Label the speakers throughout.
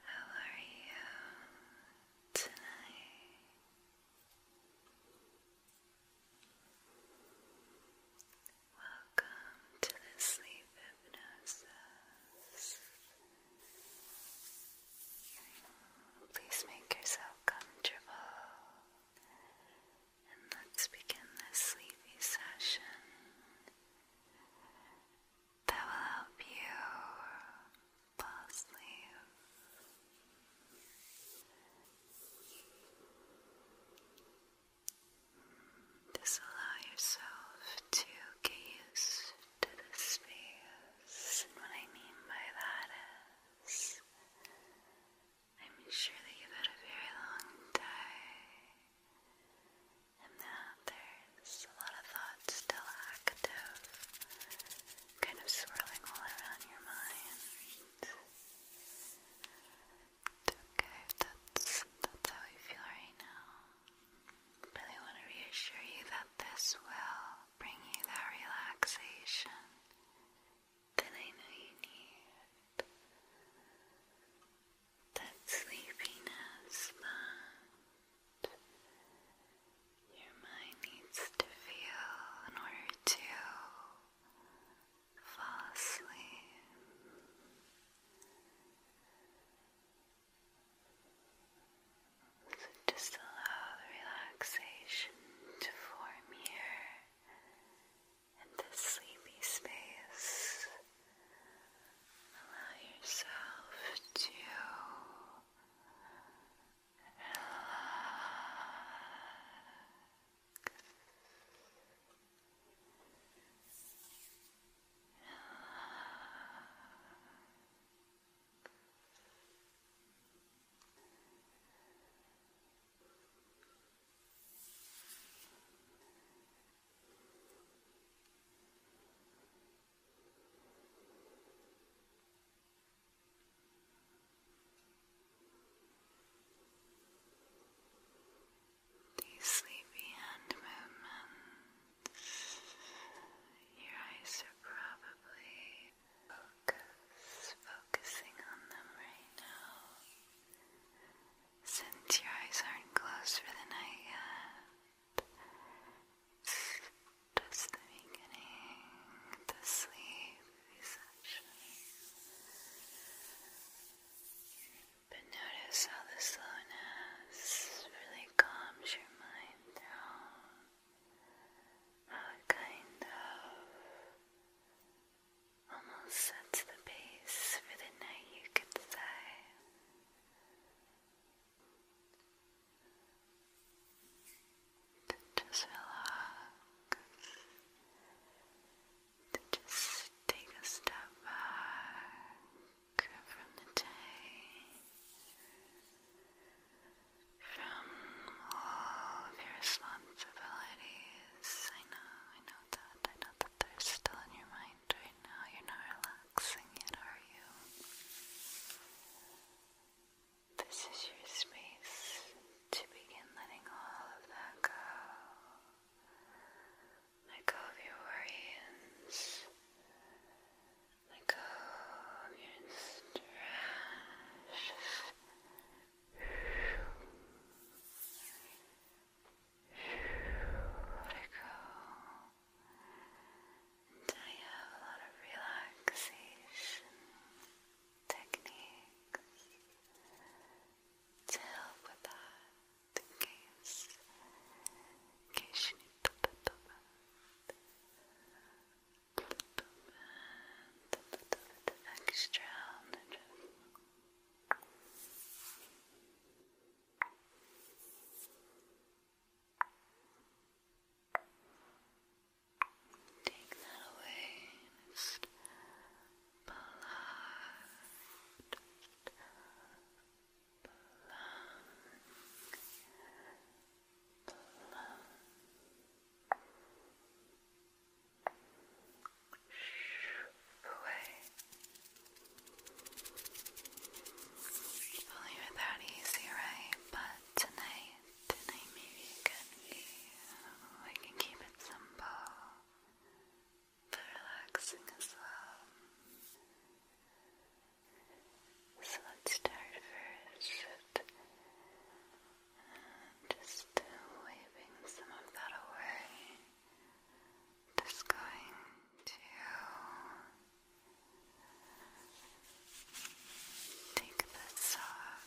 Speaker 1: How are you tonight?
Speaker 2: Welcome to the sleep hypnosis. Please make yourself comfortable and let's begin this sleepy session that will help you fall asleep. Just allow yourself to get used to the space. And what I mean by that is, I'm sure that you've had a very long day. And now there's a lot of thoughts still active, kind of swirling all around your mind. Okay, that's, that's how you feel right now. Really want to reassure you that this will bring you that relaxation that I know you need that sleepiness, but your mind needs to feel in order to fall asleep. So just allow relaxation to form here in this sleepy space. Allow yourself to Relax. These sleepy hand movements, your eyes are probably focusing on them right now. Since your eyes aren't closed for the night just the beginning, the sleep session. But notice how the slowness really calms your mind down. How it kind of almost sets the pace for the night you could say just relax, to just take a step back from the day, from all of your responsibilities. I know, I know that, I know that they're still in your mind mind right now. You're not relaxing yet, are you? This is your space to begin letting all of that go. Let go of your worries. Let go of your stress. Let go and I have a lot of relaxation techniques to help with that in case, case you need to extra on Take that away just plug, just plug, away. Well, you're that easy, right? But tonight, tonight maybe it can be, oh, can keep it simple, but relaxing as well. So let's start first. Um, just uh, some of that away. Just going to Take this off.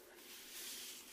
Speaker 2: Relax.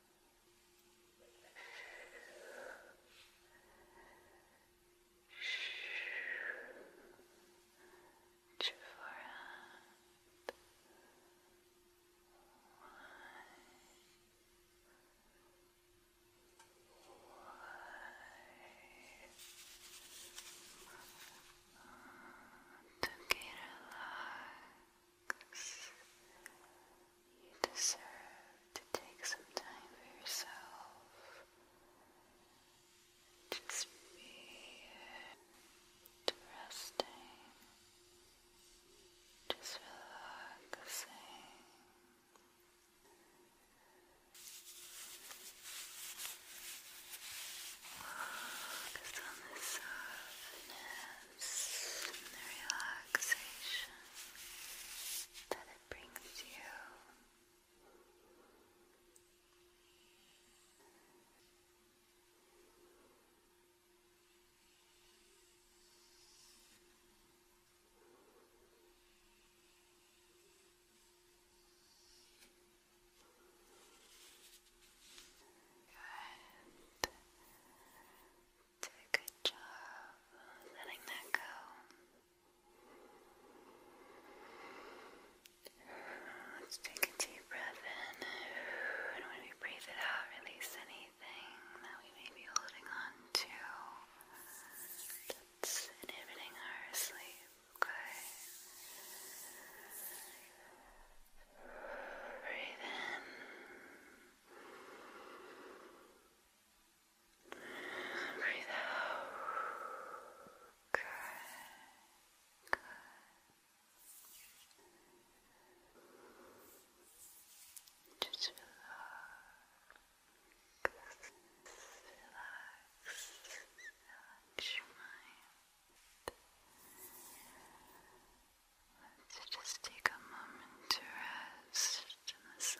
Speaker 2: Shh. Your to get along. You deserve to take some time for yourself. Just be resting, just relaxing. Focus on the softness and the relaxation that it brings you. Good do a good job letting that go. Let's take a deep breath in, and when we breathe it out, release anything that we may be holding on to that's inhibiting our sleep. Okay. Breathe in. Breathe out. Good. Good. Just relax. Relax. Relax your mind to just take a moment to rest in the silence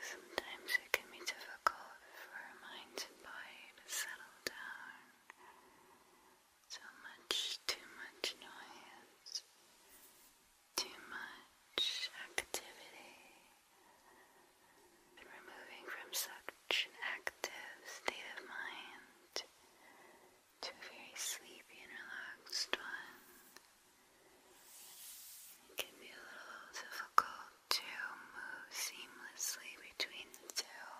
Speaker 2: Sometimes it can be difficult for our minds and body to settle down. So much, too much noise, too much activity. And removing from such active state of mind to a very sleepy and relaxed one. It can be a little difficult to move seamlessly between the two.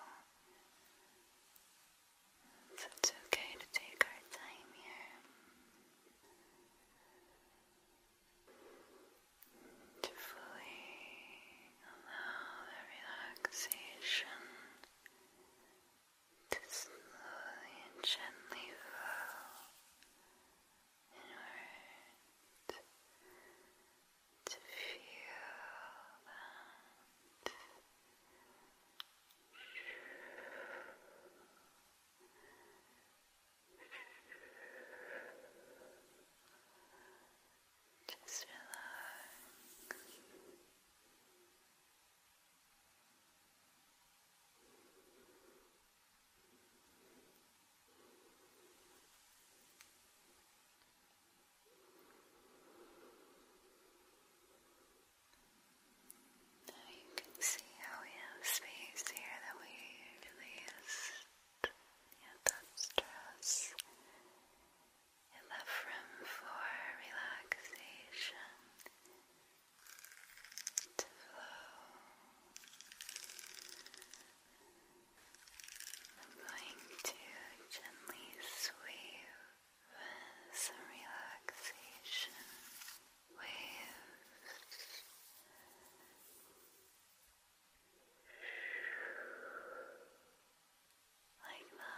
Speaker 2: So it's okay to take our time here. To fully allow the relaxation to slowly and gently flow inward to feel that just relax now you can see how we have space here that we usually Yeah, that's stress. It left room for relaxation to flow. I'm going to gently sweep some relaxation waves. Like that.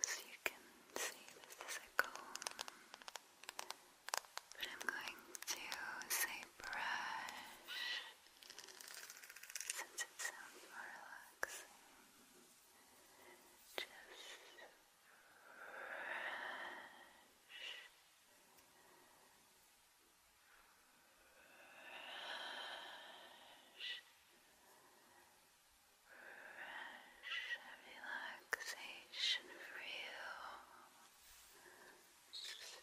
Speaker 2: As you can see, this is a comb, but I'm going to say brush since it sounds more relaxing. Just brush. Brush fresh and relaxation for you. Relax. Relax.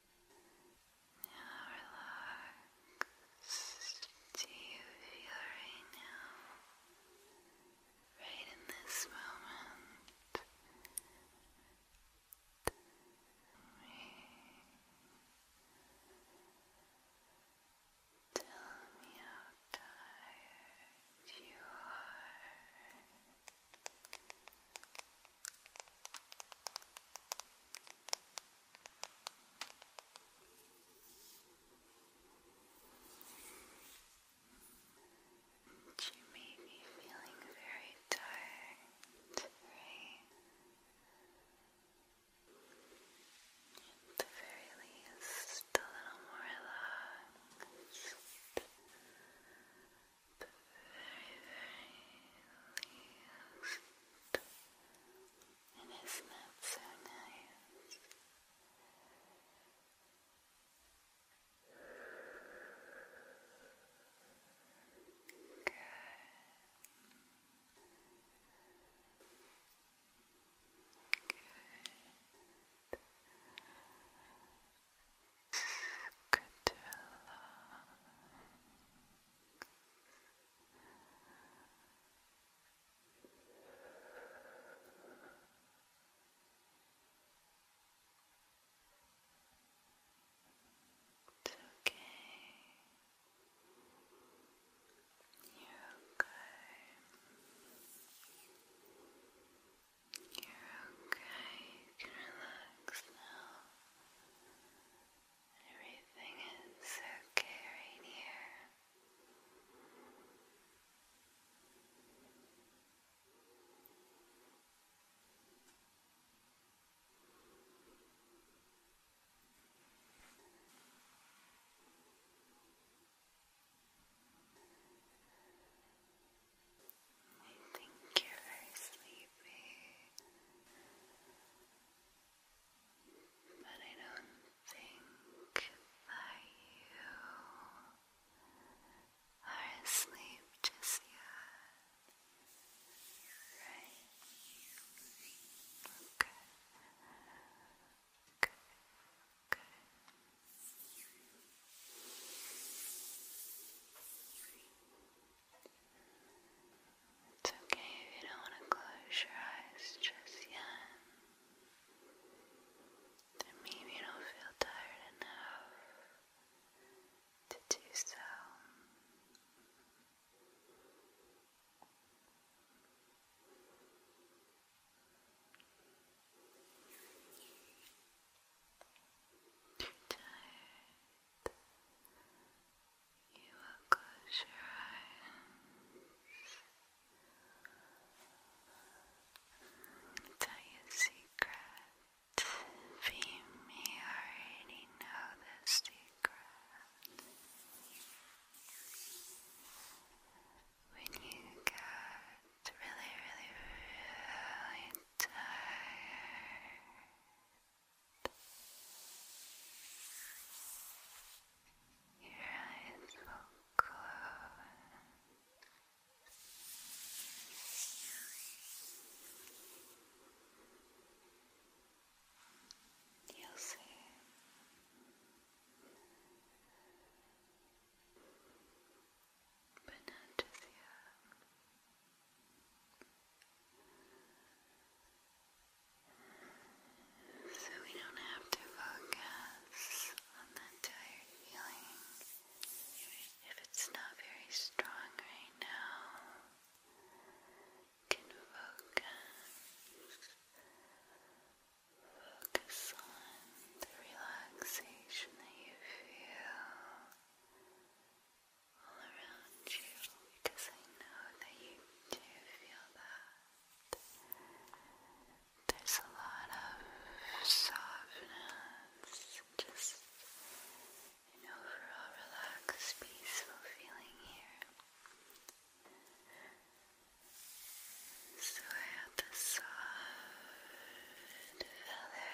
Speaker 2: Now relax. Do you feel right now? Right in this moment. Tell me how tired you are. You may be feeling very tired, right? At the very least, a little more relaxed least. And isn't so nice? Good. Good. Good to allow. It's okay. You're okay. You're okay. You can relax now. Everything is okay right here. I think you're very sleepy. But I don't think that you are asleep just yet. Right? Okay. Good. Good. It's okay if you don't want to close your eyes just yet. maybe you don't feel tired enough to do so. Tired. You will close your eyes tell you a secret. Be already know the secret. When you get really, really, really tired. Your eyes will close. You'll see. But not just yet. So we don't have to focus on that tired feeling if it's not very strong right now. Can focus, focus on the relaxation that you feel all around you because I know that you do feel that. There's a lot of softness, just an overall relaxed, peaceful feeling here. So I have the soft feather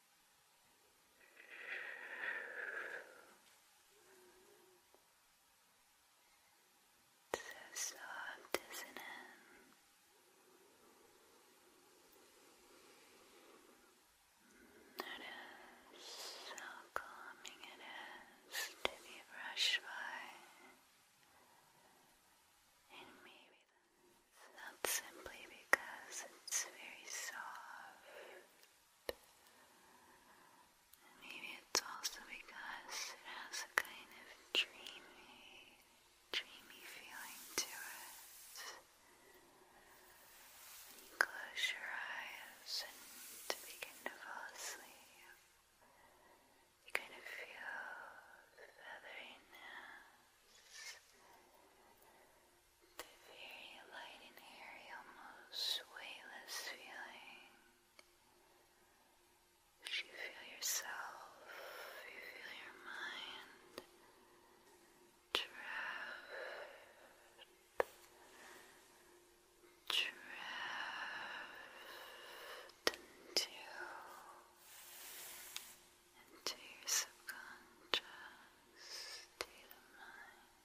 Speaker 2: So soft, how calming it is to be brushed by, and maybe and simply because it's very soft. maybe it's also because it has a kind of dreamy, dreamy feeling to it. And you close your eyes and begin to fall asleep. You kind of feel featheriness the very light and airy, almost weightless feeling. You feel yourself, you feel your mind drift, drift into into your subconscious state of mind,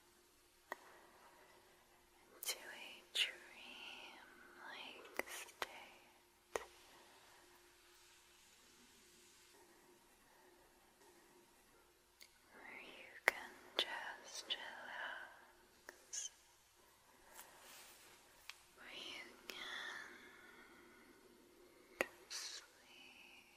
Speaker 3: into a dream state. Where you can just relax, where you can sleep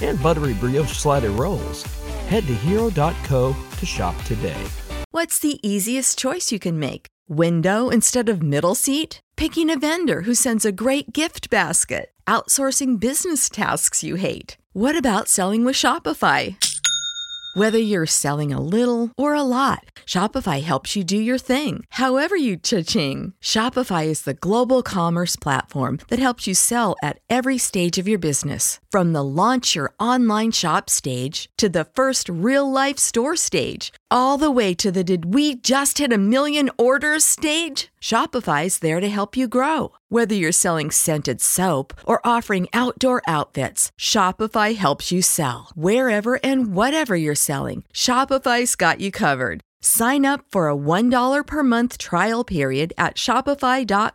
Speaker 3: and buttery brioche slider rolls. Head to hero.co to shop today.
Speaker 1: What's the easiest choice you can make? Window instead of middle seat? Picking a vendor who sends a great gift basket? Outsourcing business tasks you hate? What about selling with Shopify? Whether you're selling a little or a lot, Shopify helps you do your thing, however you cha-ching. Shopify is the global commerce platform that helps you sell at every stage of your business, from the launch your online shop stage to the first real life store stage, all the way to the did we just hit a million orders stage? Shopify's there to help you grow. Whether you're selling scented soap or offering outdoor outfits, Shopify helps you sell. Wherever and whatever you're selling, Shopify's got you covered. Sign up for a $1 per month trial period at Shopify.com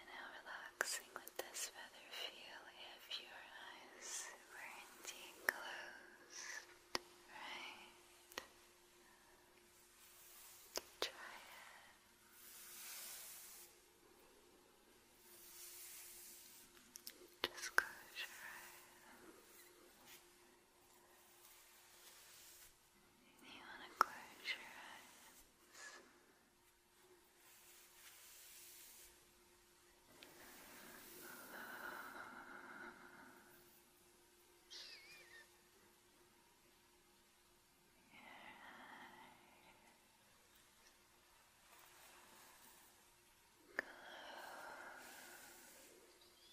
Speaker 2: And how relaxing would this feather feel if your eyes were indeed closed, right? Try it. Just close your eyes. You want to close your eyes. Close your eyes. Close. Your eyes.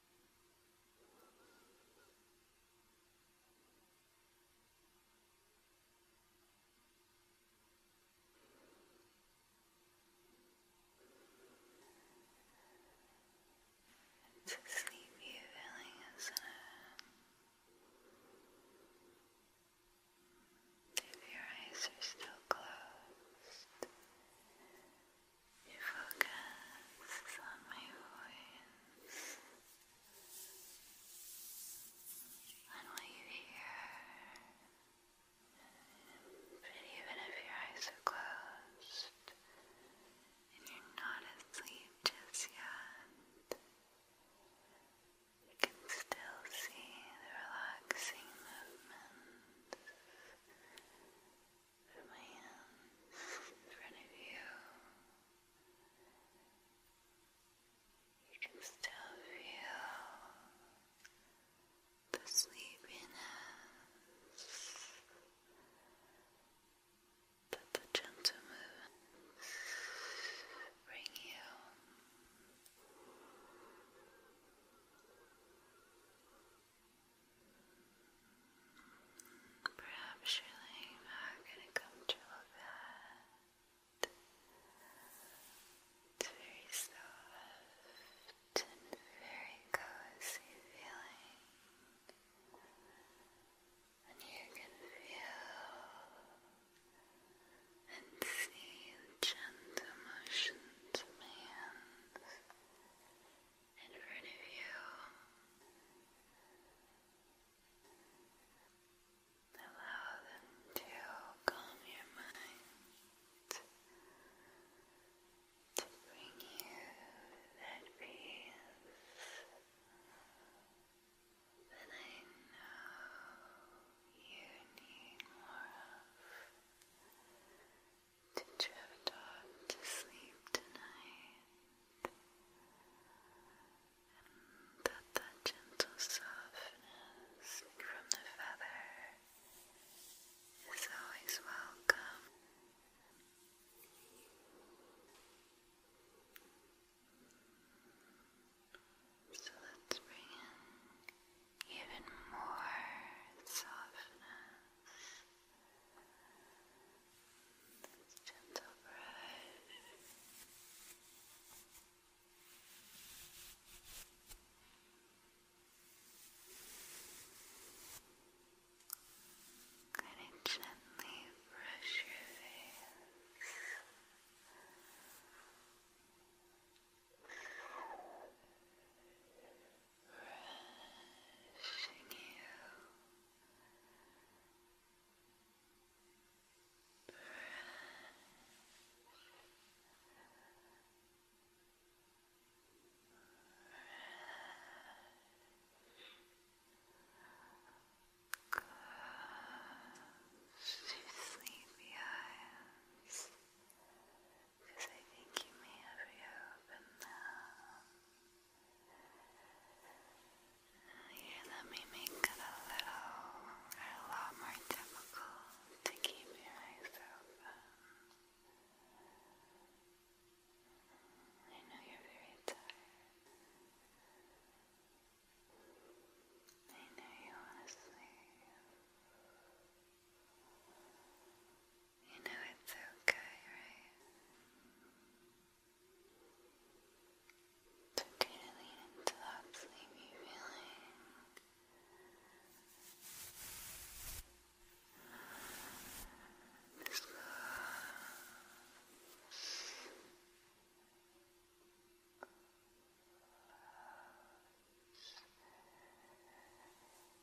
Speaker 2: It's a sleepy feeling, isn't it? If your eyes are still closed, you focus on my voice, on what you hear, but even if your eyes are closed and you're not asleep just yet, you can still see the relaxing movements. Put my hands in front of you. You can still feel the sleepiness, but the gentle movements bring you. Perhaps you're laying back in a comfortable It's very soft and very cozy feeling. And you can feel and see gentle motions of my hands in front of you. Allow them to calm your mind, to bring you that peace that I know you need more of. Did you have a to sleep tonight? that that gentle softness from the feather is always welcome. So let's bring in even more softness this gentle brush. Kind of gently brush your face brushing you, brush, brush. Close your because I think you may have reopened now. Yeah, that may make it a little, a lot more difficult to keep your eyes I know you're very tired. I know you want to sleep. You know it's okay, right? It's okay to lean into that sleepy feeling. Just Relax.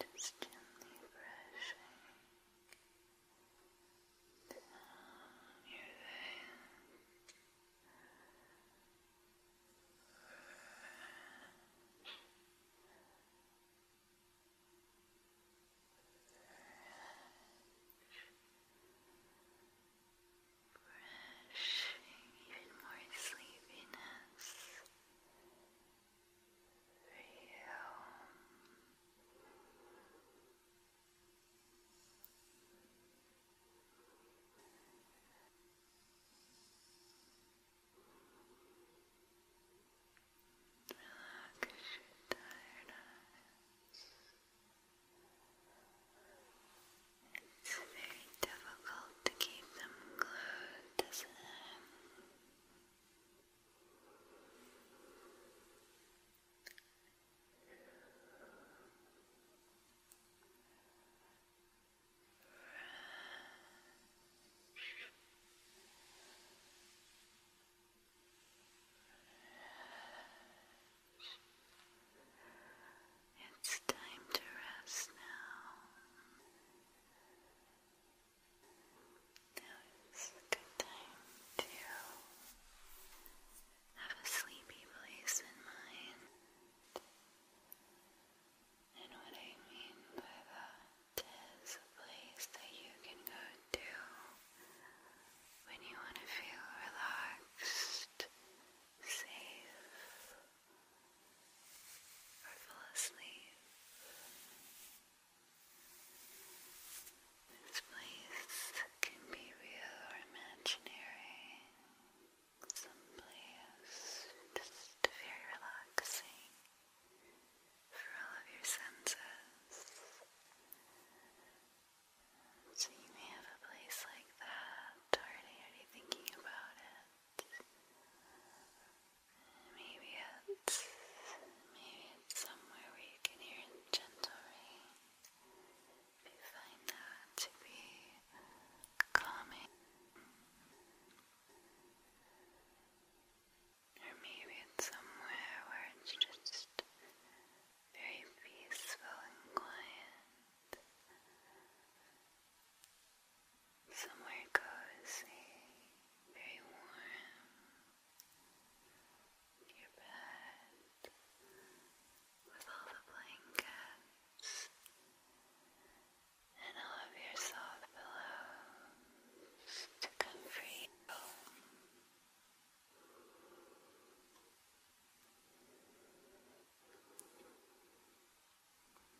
Speaker 2: Just gently brushing down your veins, brush brushing even more sleepiness for you. Relax your tired eyes. It's very difficult to keep them glued, isn't it? Relax. It's time to rest now. Now is a good time to have a sleepy place in mind. And what I mean by that there's a place that you can go to when you want to feel relaxed, safe, or fall asleep. This place can be real or imaginary. Some place just very relaxing through all of your senses. So you may have a place like that already, already thinking about it. Maybe it's maybe it's somewhere where you can hear gentle rain. you find that to be calming. Or maybe it's somewhere where it's just very peaceful and quiet. Somewhere cozy, very warm. Your bed with all the blankets and all of your soft pillows to comfort you.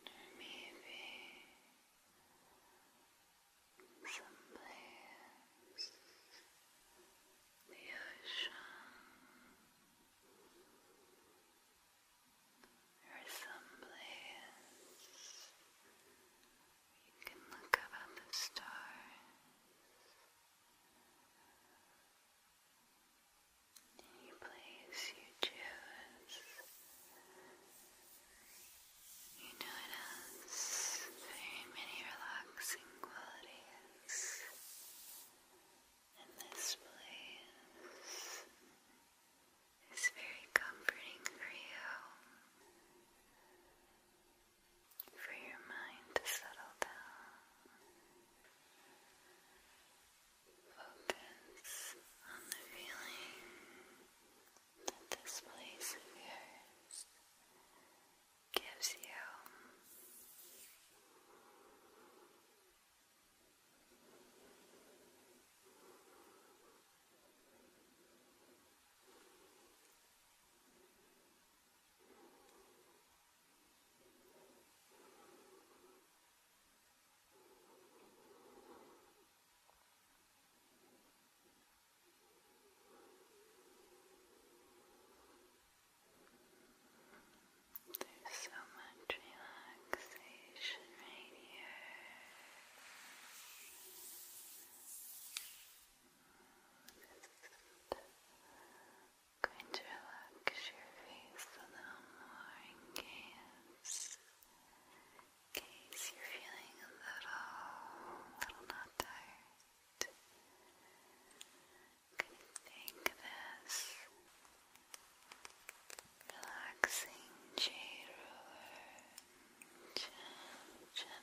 Speaker 2: Or maybe someplace the ocean or you can look up at the stars. Any place you choose. You know it has very many relaxing qualities. And this place it's very comforting for you, for your mind to settle down. Focus on the feeling that this place of gives you. There's so much relaxation right here going to relax your face a little more in case, you're feeling a little, little not tired. I'm this relaxing jade roller gently Gently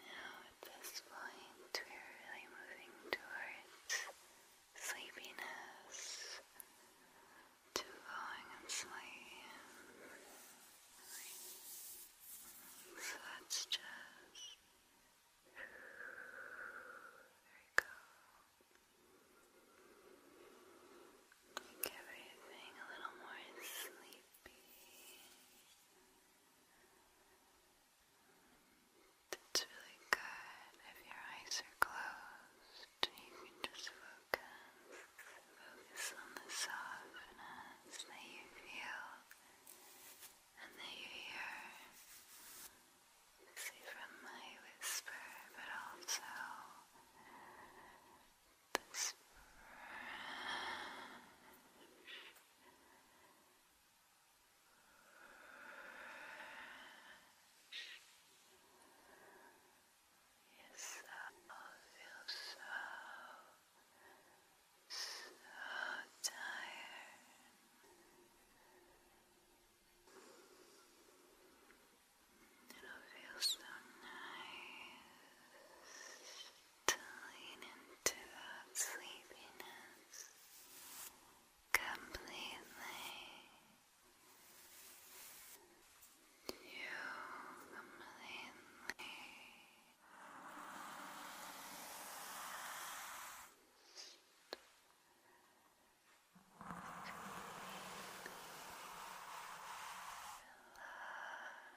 Speaker 2: Now at this point we're really moving towards sleepiness to falling asleep. So let's just there we go. Make everything a little more sleepy baby. really good. If your eyes are closed, you can just focus. Focus on the softness that you feel and that you hear. See from my whisper, but also this Yes, I feel so, so tired. It'll feel so nice. Tilling into that sleepiness completely. You completely relax.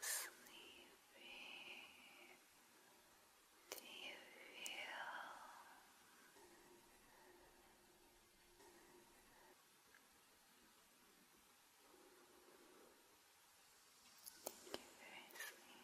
Speaker 2: sleepy? Do you feel I you're very sleepy?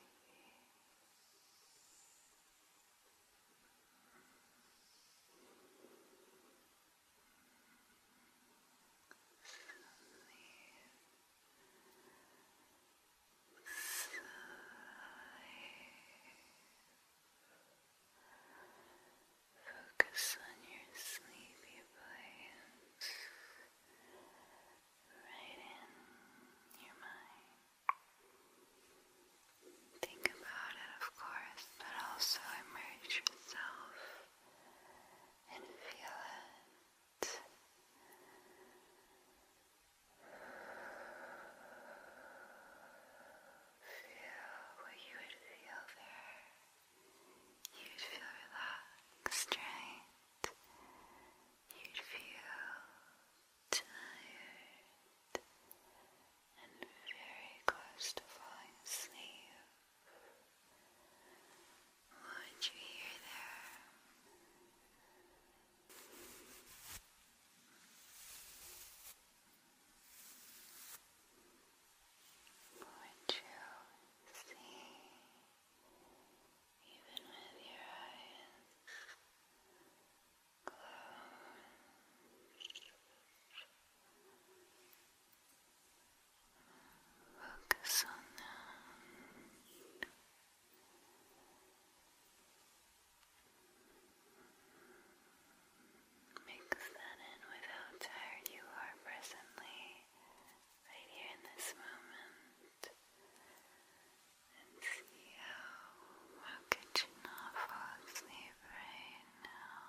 Speaker 2: Focus on your sleepy place right in your mind. Think about it, of course, but also immerse yourself and feel it. Feel what you would feel there. You'd feel relaxed, right? You'd feel tired and very close to falling asleep. What you hear there? What you see, even with your eyes closed. Focus on that. Mix that in with how tired you are presently, right here in this moment, and see how how could you not fall asleep right now?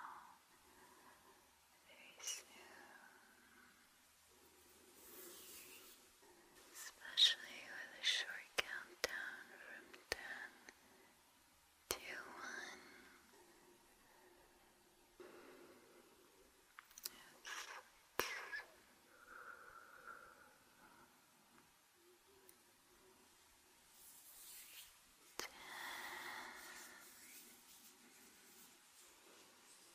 Speaker 2: Very soon especially with a short countdown from ten to one. Ten.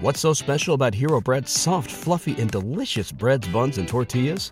Speaker 3: What's so special about Hero Bread's soft, fluffy, and delicious breads, buns, and tortillas?